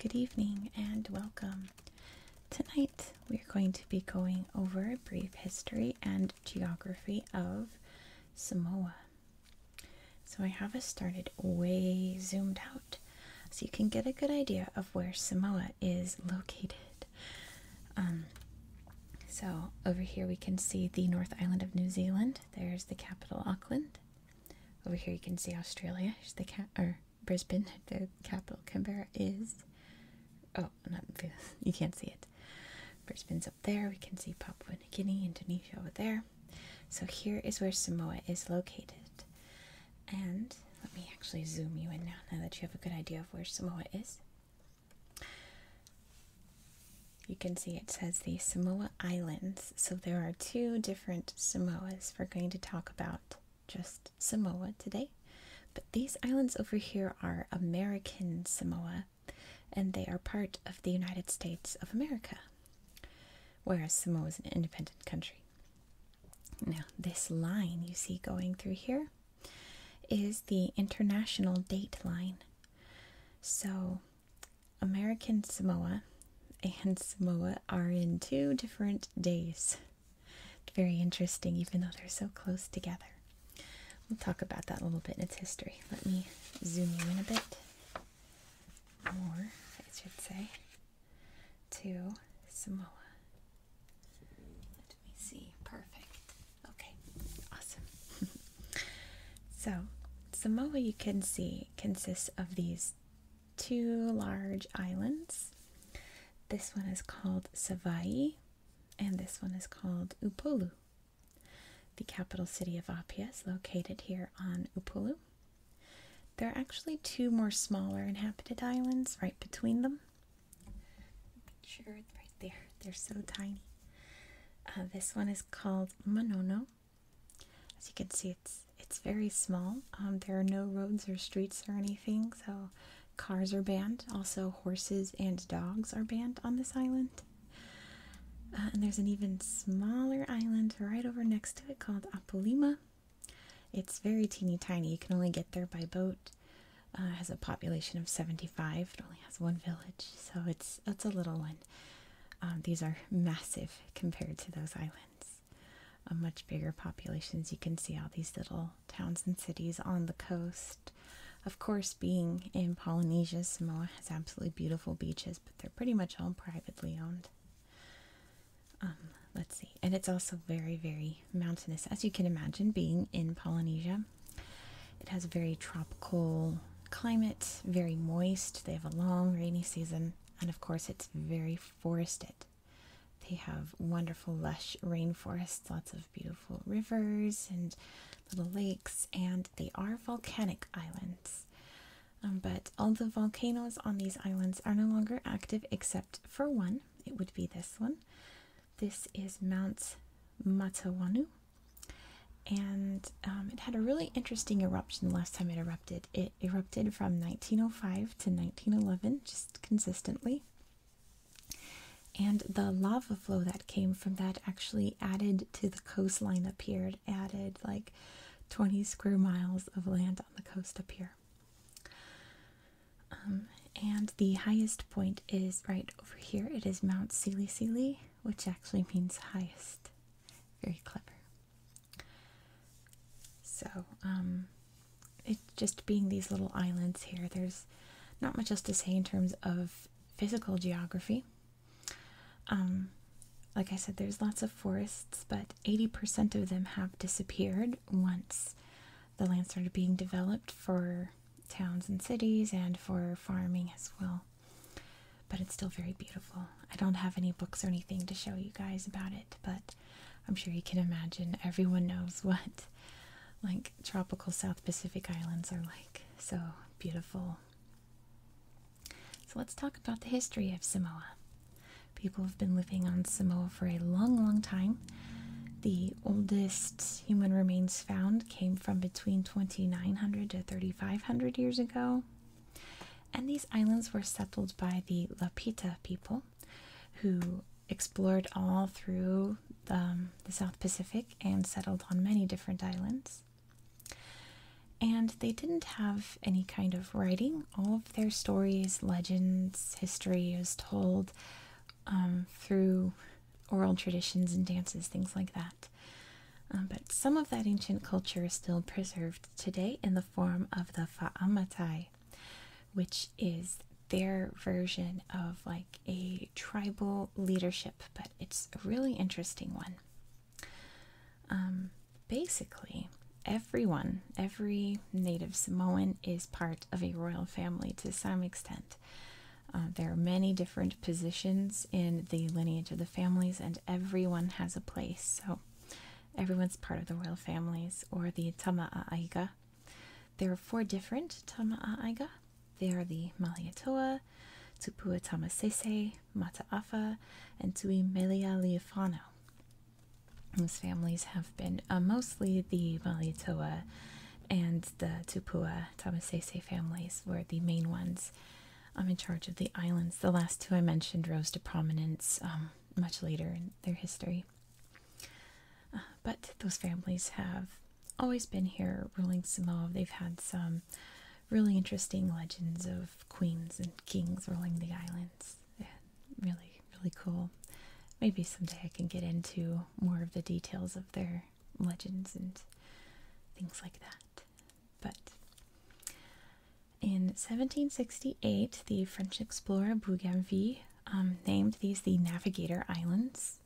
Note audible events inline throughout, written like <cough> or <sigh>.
Good evening and welcome. Tonight we're going to be going over a brief history and geography of Samoa. So I have us started way zoomed out so you can get a good idea of where Samoa is located. Um, so over here we can see the North Island of New Zealand. There's the capital Auckland. Over here you can see Australia. the cap or Brisbane. <laughs> The capital Canberra is. Oh, not <laughs> you can't see it. Brisbane's up there. We can see Papua New Guinea, Indonesia over there. So here is where Samoa is located. And let me actually zoom you in now, now that you have a good idea of where Samoa is. You can see it says the Samoa Islands. So there are two different Samoas. We're going to talk about just Samoa today. But these islands over here are American Samoa, and they are part of the United States of America whereas Samoa is an independent country. Now, this line you see going through here is the international date line. So, American Samoa and Samoa are in two different days. Very interesting, even though they're so close together. We'll talk about that a little bit in its history. Let me zoom in a bit more, I should say, to Samoa. Let me see. Perfect. Okay. Awesome. <laughs> so, Samoa, you can see, consists of these two large islands. This one is called Savaii, and this one is called Upolu. The capital city of Apia is located here on Upolu, there are actually two more smaller inhabited islands right between them. Sure, it's right there. They're so tiny. Uh, this one is called Monono. As you can see, it's it's very small. Um, there are no roads or streets or anything, so cars are banned. Also, horses and dogs are banned on this island. Uh, and there's an even smaller island right over next to it called Apolima. It's very teeny tiny. You can only get there by boat. it uh, has a population of 75. It only has one village, so it's it's a little one. Um, these are massive compared to those islands. much bigger populations. You can see all these little towns and cities on the coast. Of course, being in Polynesia, Samoa has absolutely beautiful beaches, but they're pretty much all privately owned. Um, let's see. And it's also very, very mountainous, as you can imagine, being in Polynesia. It has a very tropical climate, very moist. They have a long rainy season, and of course, it's very forested. They have wonderful, lush rainforests, lots of beautiful rivers and little lakes, and they are volcanic islands. Um, but all the volcanoes on these islands are no longer active except for one. It would be this one. This is Mount Matawanu. And um, it had a really interesting eruption last time it erupted. It erupted from 1905 to 1911, just consistently. And the lava flow that came from that actually added to the coastline up here. It added like 20 square miles of land on the coast up here. Um, and the highest point is right over here. It is Mount Sili Sili, which actually means highest. Very clever. So, um, just being these little islands here, there's not much else to say in terms of physical geography. Um, like I said, there's lots of forests, but 80% of them have disappeared once the land started being developed for towns and cities and for farming as well. But it's still very beautiful. I don't have any books or anything to show you guys about it, but I'm sure you can imagine everyone knows <laughs> what like tropical South Pacific islands are like. So beautiful so let's talk about the history of Samoa. People have been living on Samoa for a long, long time. The oldest human remains found came from between 2900 to 3500 years ago. And these islands were settled by the Lapita people who explored all through the, um, South Pacific and settled on many different islands. And they didn't have any kind of writing. All of their stories, legends, history is told um, through oral traditions and dances, things like that. Um, but some of that ancient culture is still preserved today in the form of the Fa'amatai, which is their version of like a tribal leadership, but it's a really interesting one. Um, basically, everyone, every native Samoan is part of a royal family to some extent. Uh, there are many different positions in the lineage of the families, and everyone has a place. So, everyone's part of the royal families or the Aiga. There are four different Aiga. They are the Malietoa, Tupua Tamasese, Mataafa and Tui Melia Those families have been uh, mostly the Malitoa and the Tupua Tamasese families were the main ones I'm um, in charge of the islands. The last two I mentioned rose to prominence um, much later in their history. Uh, but those families have always been here ruling Samoa. They've had some really interesting legends of queens and kings ruling the islands. Yeah, really, really cool. Maybe someday I can get into more of the details of their legends and things like that. But in 1768, the French explorer Bougainville um, named these the Navigator Islands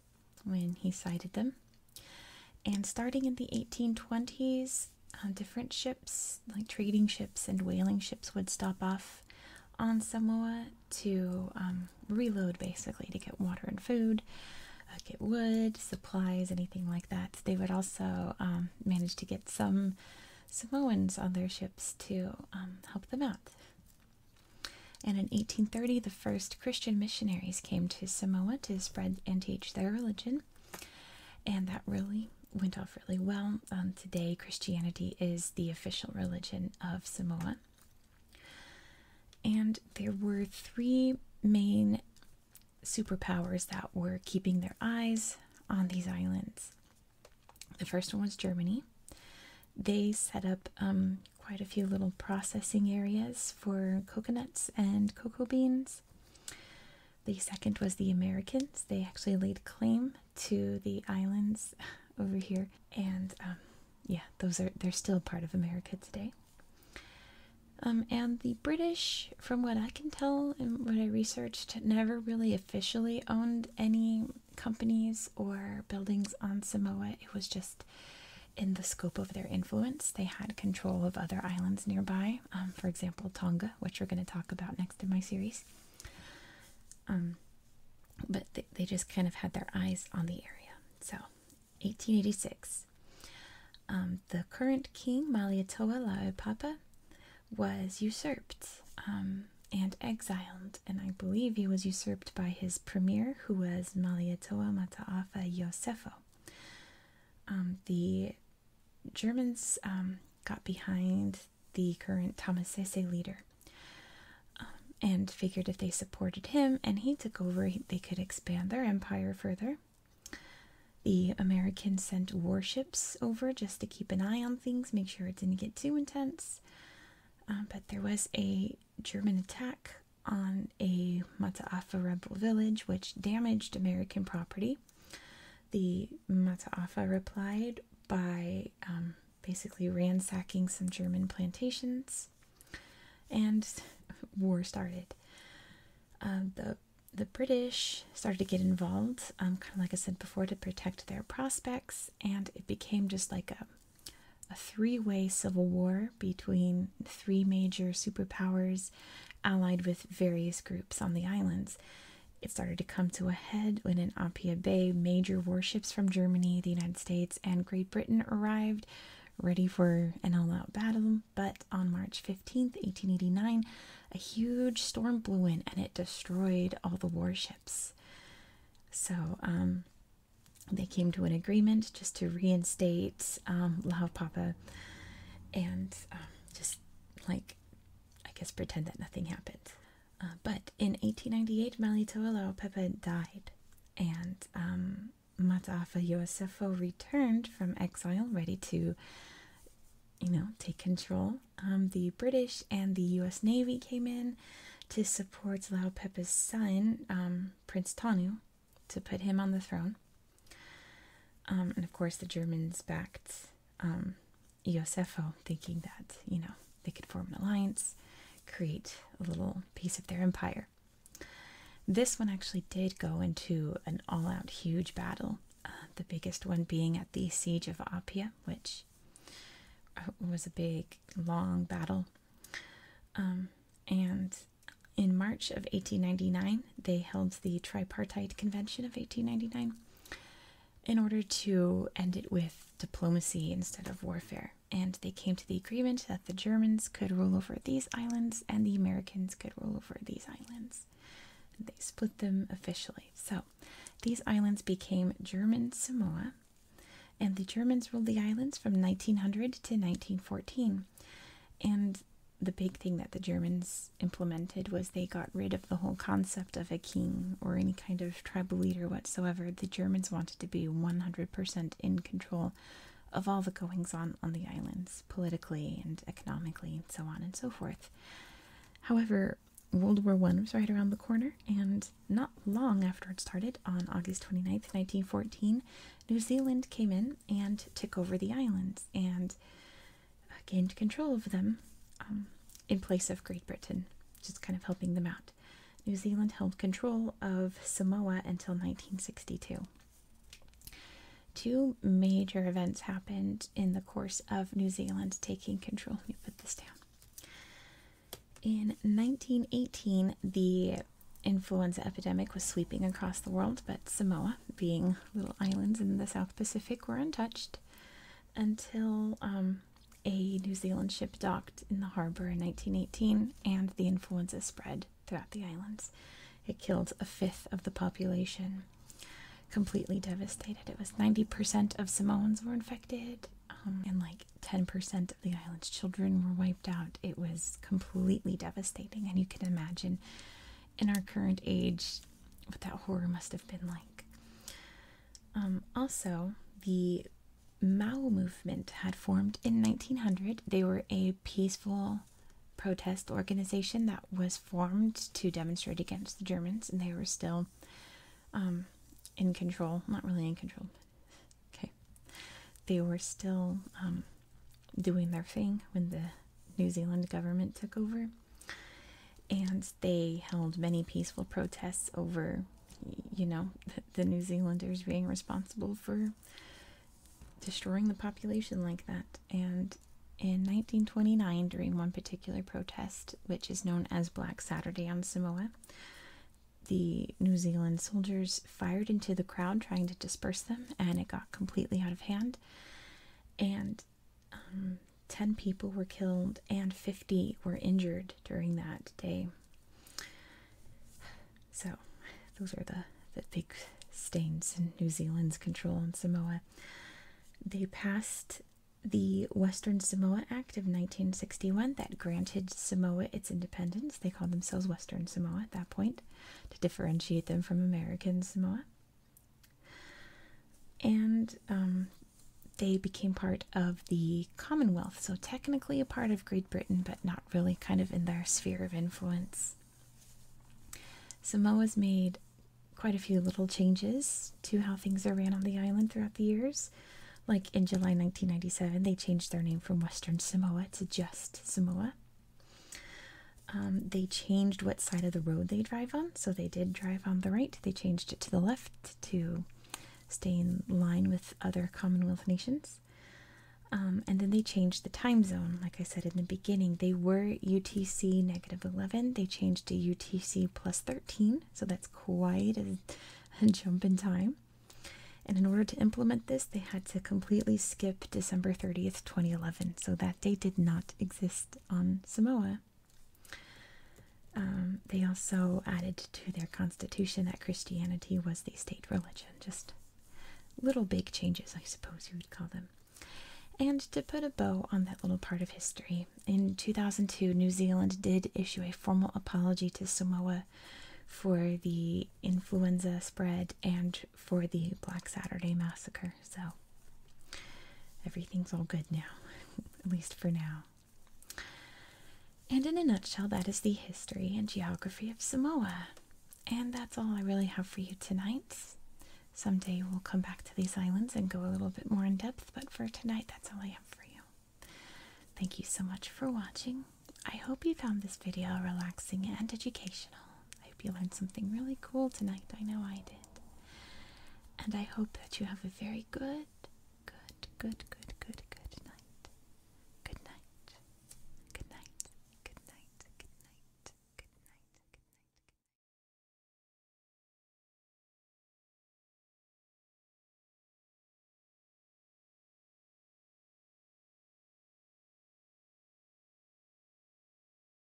when he sighted them. And starting in the 1820s, um, uh, different ships like trading ships and whaling ships, would stop off on Samoa to um, reload basically to get water and food, uh, get wood, supplies, anything like that. They would also um, manage to get some Samoans on their ships to um, help them out. And in 1830, the first Christian missionaries came to Samoa to spread and teach their religion and that really went off really well. Um, today, Christianity is the official religion of Samoa, and there were three main superpowers that were keeping their eyes on these islands. The first one was Germany. They set up um, quite a few little processing areas for coconuts and cocoa beans. The second was the Americans. They actually laid claim to the islands <laughs> over here, and um, yeah, those are they're still part of America today. Um, and the British, from what I can tell and what I researched, never really officially owned any companies or buildings on Samoa. It was just in the scope of their influence. They had control of other islands nearby, um, for example, Tonga, which we're going to talk about next in my series. Um, but they, just kind of had their eyes on the area. So, 1886. Um, the current king, Malietoa Laopapa, was usurped um, and exiled, and I believe he was usurped by his premier, who was Malietoa Mataafa Yosefo. the Germans um, got behind the current Thomas Tamasese leader um, and figured if they supported him and he took over, they could expand their empire further. The Americans sent warships over just to keep an eye on things, make sure it didn't get too intense. Um, but there was a German attack on a Mataafa rebel village, which damaged American property the Mataafa replied by um, basically ransacking some German plantations, and <laughs> war started. Um, the the British started to get involved, um, kind of like I said before, to protect their prospects, and it became just like a a three way civil war between three major superpowers allied with various groups on the islands. It started to come to a head when in Apia Bay, major warships from Germany, the United States, and Great Britain arrived, ready for an all out battle. But on March 15th, 1889, a huge storm blew in and it destroyed all the warships. So, um, they came to an agreement just to reinstate um, and um, just like I guess pretend that nothing happened. Uh, but in 1898, Malito'olo Pepe died, and um, Mata'afa Yosefo returned from exile, ready to, you know, take control. Um, the British and the U.S. Navy came in to support Lao son, um, Prince Tanu, to put him on the throne. Um, and of course, the Germans backed um, Iosefo, thinking that, you know, they could form an alliance, create a little piece of their empire. This one actually did go into an all out huge battle, uh, the biggest one being at the Siege of Appia, which uh, was a big, long battle. Um, and in March of 1899, they held the Tripartite Convention of 1899 in order to end it with diplomacy instead of warfare. And they came to the agreement that the Germans could rule over these islands and the Americans could rule over these islands. they split them officially. So these islands became German Samoa, and the Germans ruled the islands from 1900 to 1914. And the big thing that the Germans implemented was they got rid of the whole concept of a king or any kind of tribal leader whatsoever. The Germans wanted to be 100% in control of all the goings on on the islands, politically and economically, so on and so forth. However, World War I was right around the corner, and not long after it started, on August 29th, 1914, New Zealand came in and took over the islands. And uh, gained control of them um, in place of Great Britain, just kind of helping them out. New Zealand held control of Samoa until 1962. Two major events happened in the course of New Zealand taking control. Let me put this down. In 1918, the influenza epidemic was sweeping across the world, but Samoa, being little islands in the South Pacific were untouched until um, a New Zealand ship docked in the harbor in 1918 and the influenza spread throughout the islands. It killed a fifth of the population, completely devastated. It was 90% of Samoans were infected, um, and like 10% of the island's children were wiped out. It was completely devastating, and you can imagine in our current age what that horror must have been like. Um, also, the Mao movement had formed in 1900. They were a peaceful protest organization that was formed to demonstrate against the Germans, and they were still um, in control. Not really in control. Okay. They were still um, doing their thing when the New Zealand government took over and they held many peaceful protests over you know the New Zealanders being responsible for destroying the population like that and in 1929 during one particular protest which is known as Black Saturday on Samoa the New Zealand soldiers fired into the crowd trying to disperse them and it got completely out of hand and um, 10 people were killed and 50 were injured during that day. So, those are the, the big stains in New Zealand's control on Samoa. They passed the Western Samoa Act of 1961 that granted Samoa its independence. They called themselves Western Samoa at that point to differentiate them from American Samoa and um, they became part of the Commonwealth, so technically a part of Great Britain, but not really kind of in their sphere of influence. Samoa's made quite a few little changes to how things are ran on the island throughout the years. Like in July 1997, they changed their name from Western Samoa to just Samoa. Um, they changed what side of the road they drive on. So they did drive on the right, they changed it to the left to stay in line with other Commonwealth nations. Um, and then they changed the time zone. Like I said in the beginning, they were UTC negative 11. They changed to UTC plus 13. So that's quite a, jump in time. And in order to implement this, they had to completely skip December 30th, 2011. So that day did not exist on Samoa. Um, they also added to their constitution that Christianity was the state religion. Just little big changes, I suppose you would call them. And to put a bow on that little part of history, in 2002, New Zealand did issue a formal apology to Samoa for the influenza spread and for the Black Saturday massacre. So everything's all good now, <laughs> at least for now. And in a nutshell, that is the history and geography of Samoa. And that's all I really have for you tonight. Someday we'll come back to these islands and go a little bit more in depth, but for tonight, that's all I have for you. Thank you so much for watching. I hope you found this video relaxing and educational. I hope you learned something really cool tonight. I know I did. And I hope that you have a very good, good, good, good, good, good night. Good night. Good night. Good night. Good night. Good night. Good night.